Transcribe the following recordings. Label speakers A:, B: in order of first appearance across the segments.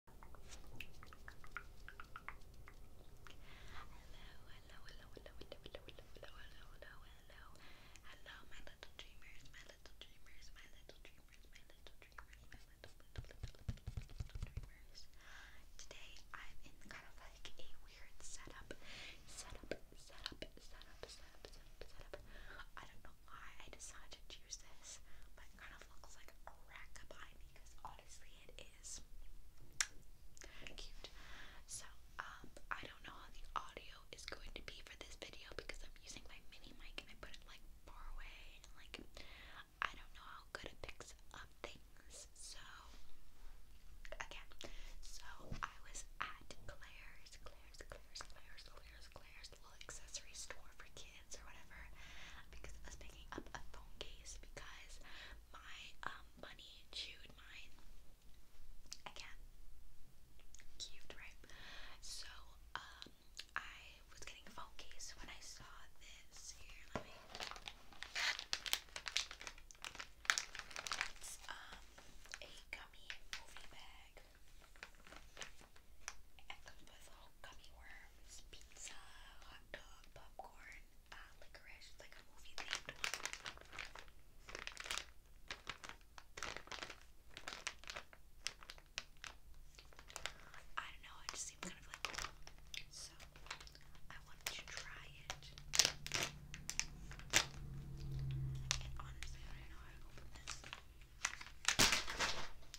A: hello, hello, hello, hello, hello, hello, hello, hello, hello, my little dreamers, my little dreamers, my little dreamers, my little dreamers, my little, little, little, little, dreamers. Today I'm in kind of like a weird setup, setup, setup, setup, setup, setup, I don't know why I decided to choose this, but it kind of looks like a rack behind because honestly it is cute. So, um, I don't know how the audio is going to be for this video because I'm using my mini mic and I put it like far away and like I don't know how good it picks up things. So, again, so I was at Claire's, Claire's, Claire's, Claire's, Claire's, Claire's little accessory store for kids or whatever because I was picking up a phone case because my money um, chewed mine. I can right? So um, I was getting a phone case when I saw this. Here, um a gummy movie bag. It comes little gummy worms pizza, hot dog, popcorn, uh, licorice, like a movie themed I don't know, it just seems kind of like So, I wanted to try it. And honestly, I don't know how to this.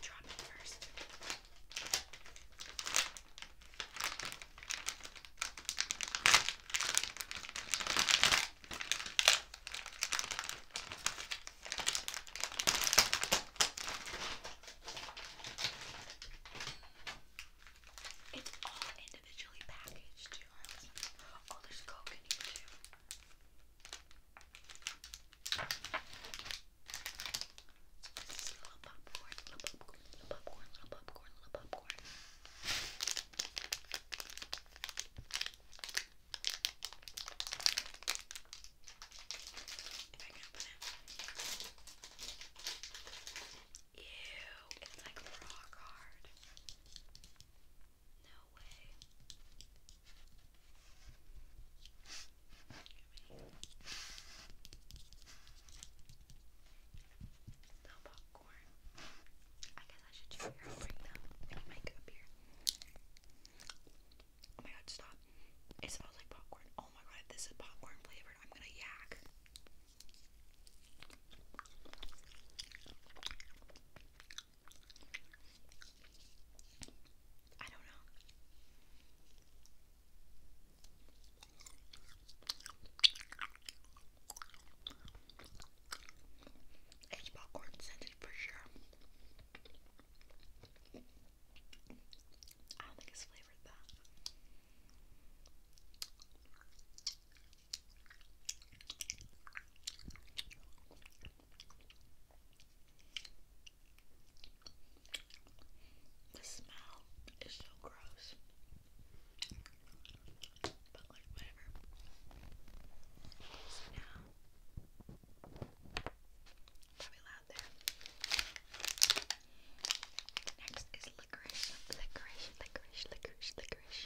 A: Drop it first.
B: It's all individually packaged too. Oh, there's Coke in here too. This is a little popcorn, little popcorn, little popcorn, little popcorn, little popcorn. If I can open it. Ew, it's like raw card. No way. No popcorn. I guess I should check Bring them. Bring my here. Oh my god, stop. It smells like popcorn. Oh my god, this is popcorn flavored, I'm gonna yak. I don't know. It's popcorn scented for sure. I don't think it's flavored that. The smell is so gross. But like whatever. So now probably loud there. Next is licorice, licorice, licorice, licorice, licorice.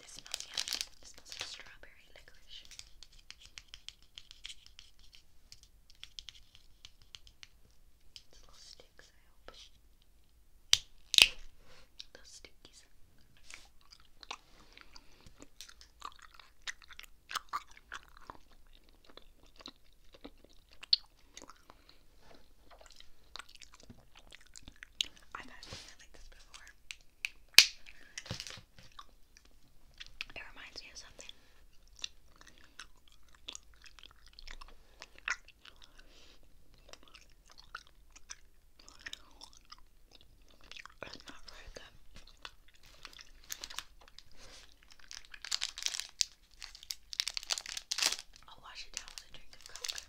B: This smells yummy. This smells like strawberry licorice. It's little sticks, I hope. Those stickies. I've actually had like this before. It reminds me of something. It's not very good.
A: I'll wash it down with a drink of Coke.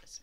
A: This is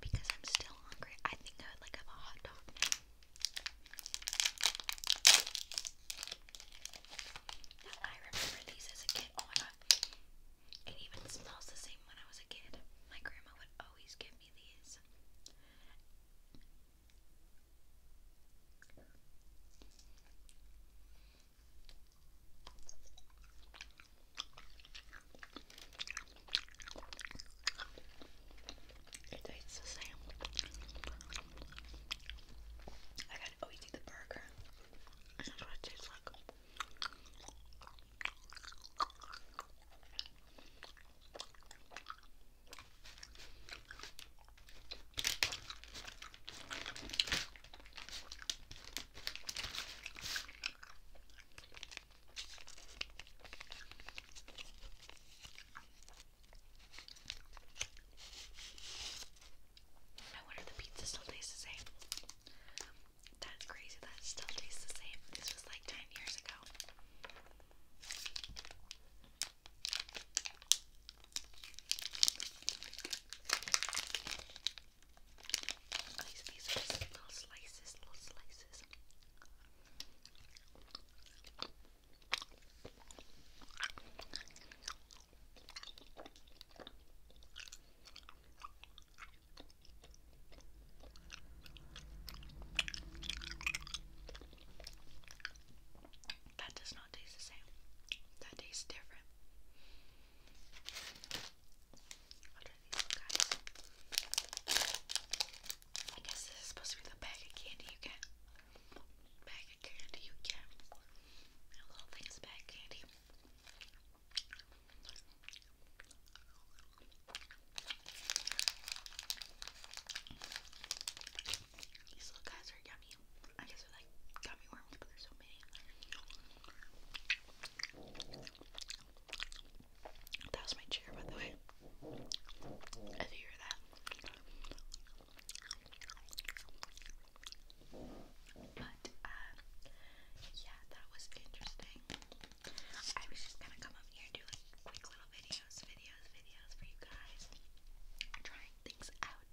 A: Because I'm still hungry, I think I would like have a hot dog I remember these as a kid. Oh my god. It even smells the same when I was a kid. My grandma would always give me these. It tastes the same. I gotta go oh, eat the burger. This is what it tastes like. I wonder if the pizza still tastes the same. That's crazy that still tastes the same. This was like 10 years ago little slices, little slices.
B: That does not taste the same. That tastes different. What are these guys? I guess this is supposed to be the bag of candy you get. Bag of candy you get. A little things bag candy.
A: These little guys are yummy. I guess they're like worms, but there's so many. That was my chair, by the way. If you hear that. But, yeah, that was interesting. I was just gonna come up here and do like quick little videos, videos, videos for you guys. Trying things out.